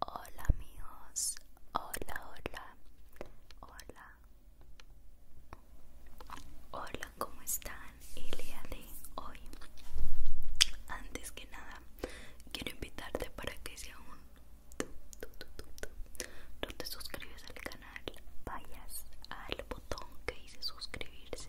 Hola amigos, hola, hola, hola, hola, ¿cómo están el día de hoy? Antes que nada, quiero invitarte para que sea aún tú, no te suscribes al canal, vayas al botón que dice suscribirse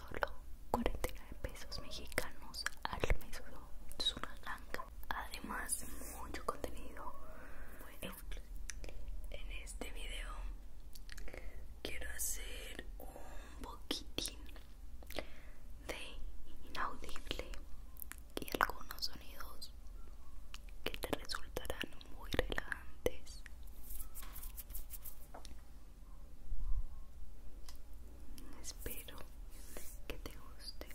solo 49 pesos mexicanos al mes. Es una ganga. Además, mucho contenido. Bueno, en este video quiero hacer un poquitín de inaudible y algunos sonidos que te resultarán muy relevantes Espero que te guste.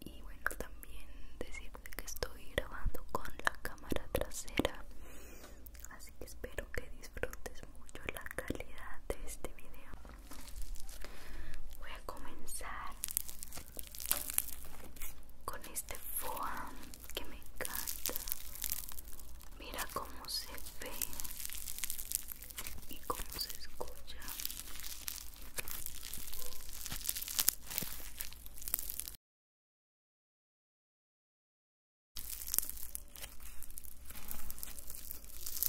Y bueno, también decirte que estoy grabando con la cámara trasera. Así que espero que disfrutes mucho la calidad de este video. Voy a comenzar con este foam que me encanta. Mira cómo se ve y cómo se escucha.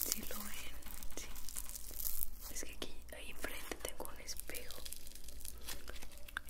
Si lo ven, Es que aquí, ahí enfrente tengo un espejo.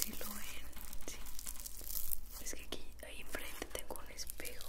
¿Sí lo ven, sí. Es que aquí, ahí enfrente tengo un espejo.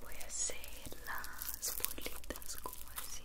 Voy a hacer las bolitas como así.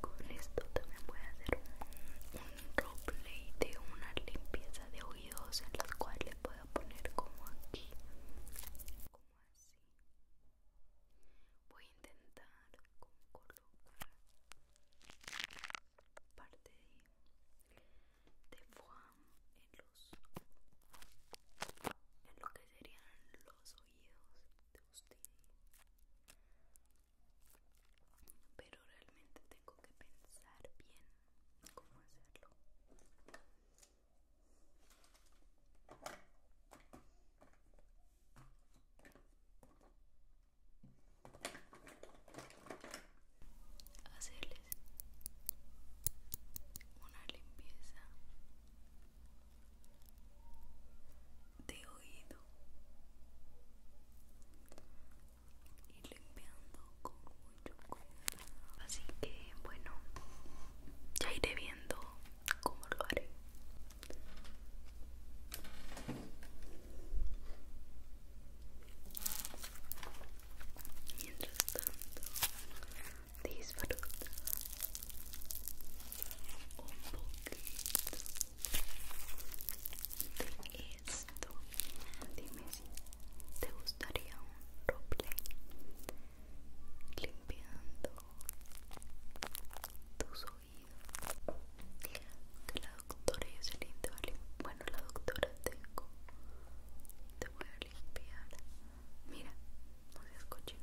Con esto también voy a hacer un, roleplay de una limpieza de oídos en las cuales le puedo poner como aquí, como así. Voy a intentar parte de, en en lo que serían los oídos de usted pero realmente tengo que pensar bien cómo hacerlo hacerles una limpieza de oído y limpiando con mucho cuidado así que bueno ya iré viendo cómo lo haré Mientras tanto, disfruta un poquito de esto. Dime si te gustaría un roble limpiando tus la doctora y te bueno la doctora tengo te voy a limpiar mira no seas cochino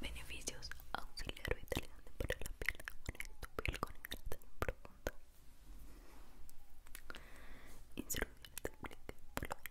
Beneficios auxiliar vitalizante para la piel. Une tu piel con hidratación profunda. Instrucciones de aplique por la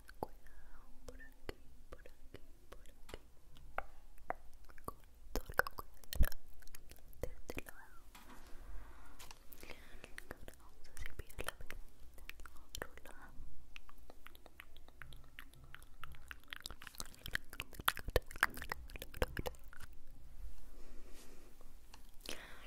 el cuidado por aquí, por aquí, por aquí. todo el cuidado de este lado. Ahora la pelita del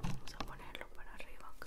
Vamos a ponerlo para arriba, ¿ok?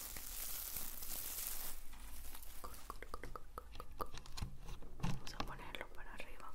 Vamos a ponerlo para arriba,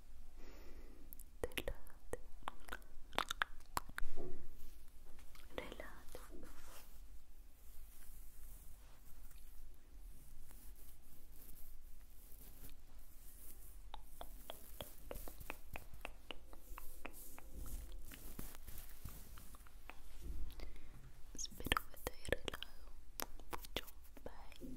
Relate. Relate. Espero que relajado mucho. Bye.